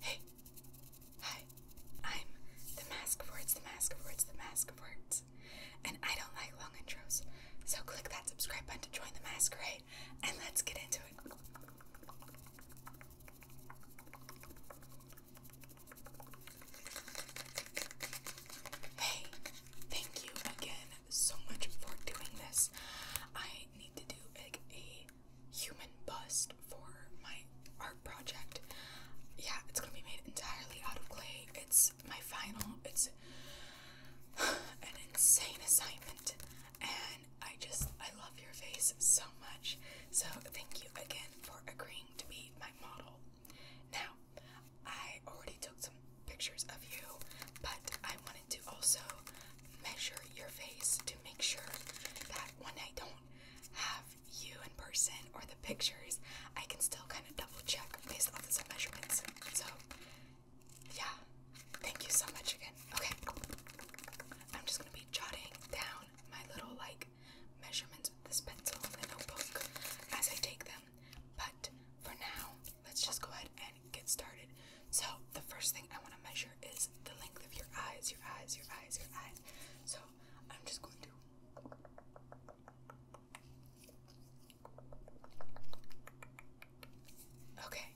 Hey! Hi! I'm the Mask of Words, the Mask of Words, the Mask of Words. And I don't like long intros, so click that subscribe button to join the masquerade and let's get into it. Hey! Thank you again so much for doing this. I need to do a human bust for my art project. Yeah, it's gonna be made entirely out of clay. It's my final. It's an insane assignment, and I just I love your face so much. So thank you again for agreeing to be my model. Now, I already took some pictures of you, but I wanted to also measure your face to make sure that when I don't have you in person or the pictures, I can still kind of double check based off the measurements. So, yeah, thank you so much again. Okay, I'm just gonna be jotting down my little like measurements with this pencil in the notebook as I take them. But for now, let's just go ahead and get started. So, the first thing I want to measure is the length of your eyes, your eyes, your eyes, your eyes. So, I'm just going to. Okay,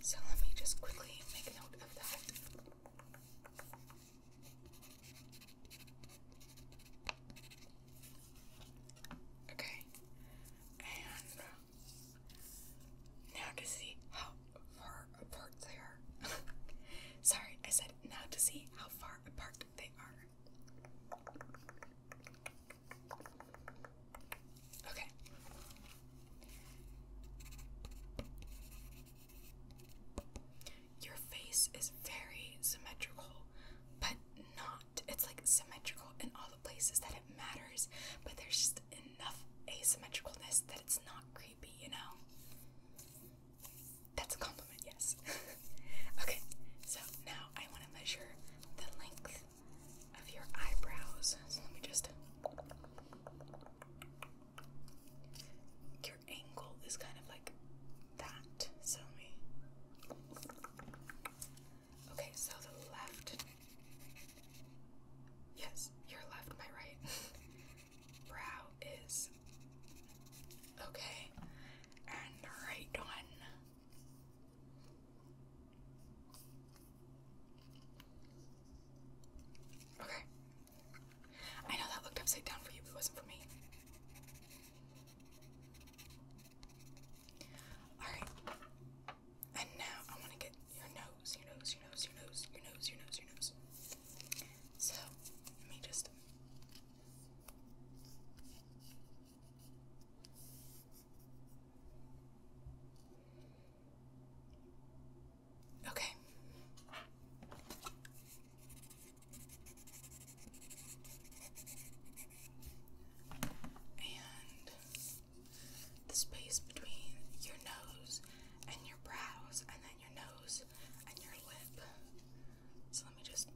so let me just quickly make note of that. Okay, now to see how far apart they are. Sorry, I said now to see how far apart they are. Okay. Your face is very symmetrical, but not. It's like symmetrical in all places that it matters, but there's just enough asymmetricalness that it's not creepy, you know? That's a compliment, yes. okay, so now I want to measure the length of your eyebrows. So let me just. Your angle is kind of like that, so Okay, so the left. Yes, your left, my right. Brow is okay, and the right one. Okay. I know that looked upside down for you, but it wasn't for me. Alright. And now I want to get your nose, your nose, your nose, your nose, your nose, your nose, your nose. So let me just. Okay. And the space between your nose and your brows, and then your nose and your lip. So let me just.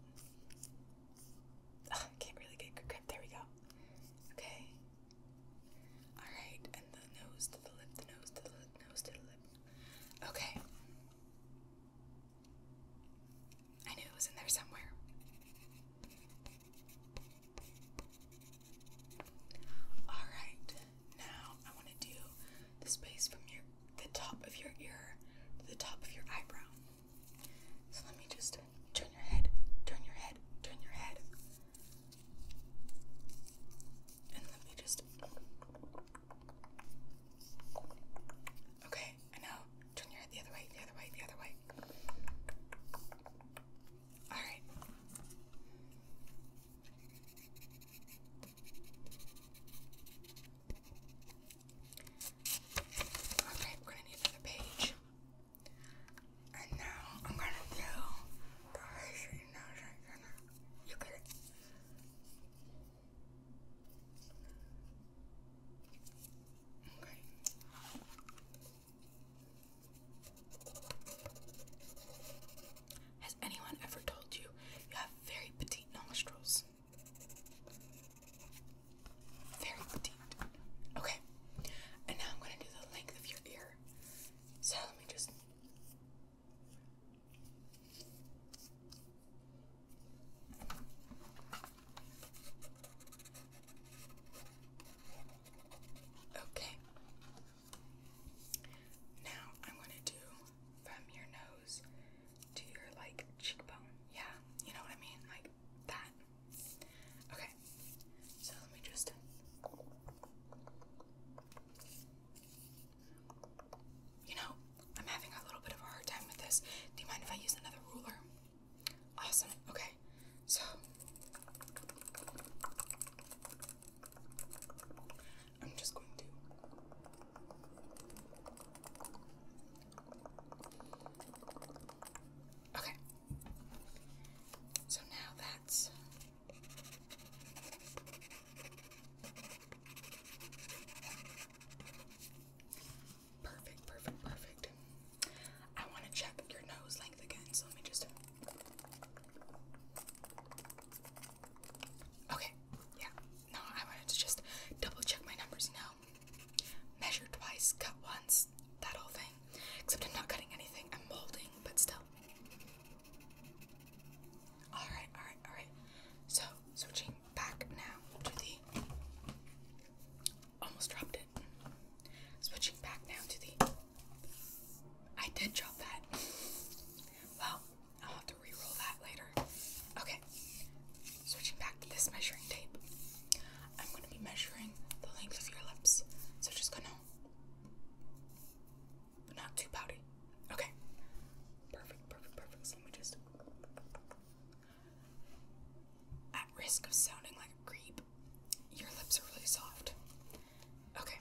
Ah, can't really get good grip. There we go. Okay. Alright, and the nose to the lip, the nose to the lip, nose to the lip. Okay. I knew it was in there somewhere. Alright, now I want to do the space from your the top of your ear to the top of your eyebrow. So let me just turn your head, turn your head, turn your head. And let me just Okay, now turn your head the other way, the other way, the other way. All right. Okay, we're gonna need another page. And now I'm gonna do You Okay. Has anyone ever told you you have very petite nostrils? Very petite. Okay, and now I'm going to do the length of your ear. So let me just. Okay. Now I want to do from your nose to your like cheekbone. Yeah, you know what I mean? Like that. Okay. So let me just. You know, I'm having a little bit of a hard time with this. Do you mind if I use another ruler? Awesome. Okay. So I'm just going to Okay. So now that's Perfect, perfect, perfect. I want to check your nose length again, so let me just. Okay, yeah. No, I wanted to just double check my numbers now. Measure twice, cut once, that whole thing. Except I'm not cutting anything, I'm molding, but still. Alright, alright, alright. So, switching back now to the Almost dropped it. Switching back now to the. I did drop that. Well, I'll have to re roll that later. Okay, switching back to this measuring tape. I'm going to be measuring the length of your lips. So just gonna. Not too pouty. Okay. Perfect, perfect, perfect. let me just. At risk of sounding like a creep, your lips are really soft. Okay.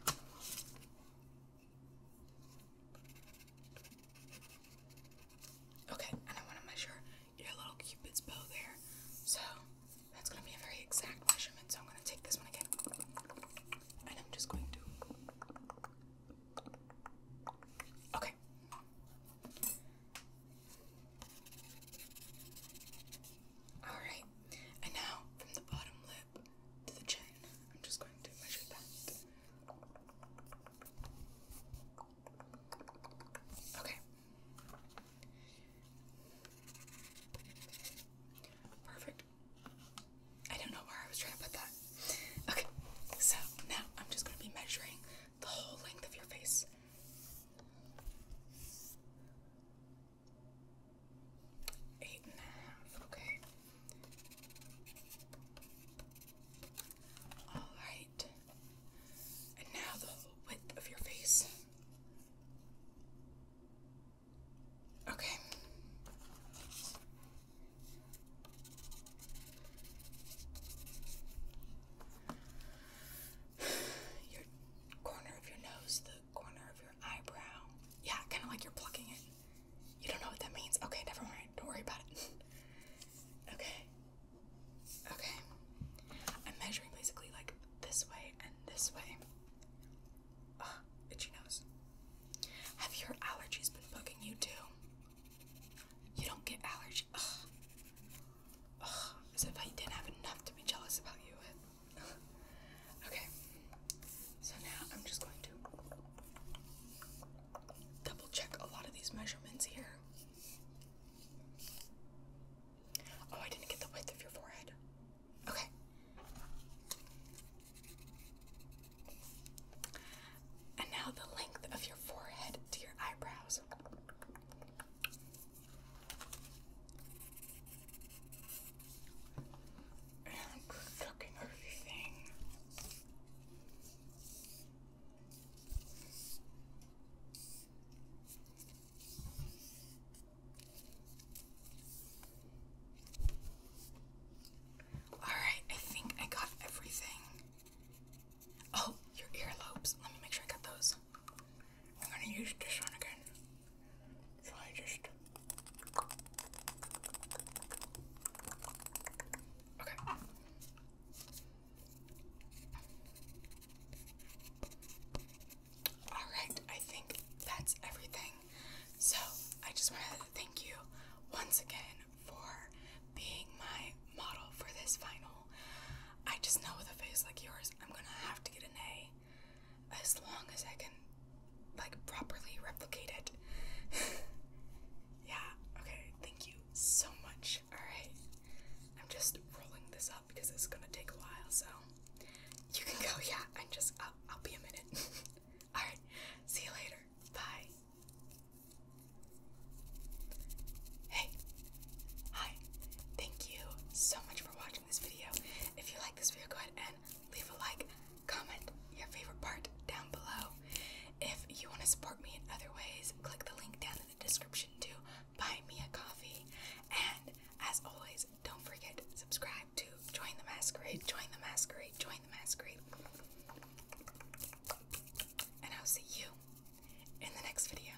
Okay, and I want to measure your little cupid's bow there. So that's going to be a very exact measurement. So I'm going to take this one again. And I'm just going to. Okay. Alright, and now from the bottom lip to the chin, I'm just going to measure that. Okay. Perfect. I don't know where I was trying to put that. Okay, so now I'm just going to be measuring the whole length of your face. Eight and a half, okay. Alright. And now the width of your face. Okay. Your corner of your nose, corner of your eyebrow. Yeah, kind of like you're plucking it. You don't know what that means. Okay, never mind. Don't worry about it. okay. Okay. I'm measuring basically like this way and this way. oh, itchy nose. Have your allergies been bugging you too? You don't get allergies. Ugh. Ugh. As if I didn't have enough to be jealous about you with. okay, so now I'm just going to double check a lot of these measurements here. Oh, I didn't get the width of your forehead. Okay. And now the length of your forehead to your eyebrows. And cooking everything. Alright, I think I got everything. Oh, your earlobes. Let me make sure I got those. I'm gonna use this one again. So I just. Okay. Alright, I think that's everything. So, I just want to thank you once again for being my model for this final. I just know with a face like yours, I'm gonna have to get an A as long as I can like properly replicate it. yeah, okay, thank you so much. Alright. I'm just rolling this up because it's gonna take a while, so you can go, yeah, I'm just I'll, I'll be a minute. Alright, see you later. Bye. Hey. Hi. Thank you so much for watching. If you like this video, go ahead and leave a like, comment your favorite part down below. If you want to support me in other ways, click the link down in the description to buy me a coffee. And as always, don't forget to subscribe to Join the Masquerade, Join the Masquerade, Join the Masquerade. And I'll see you in the next video.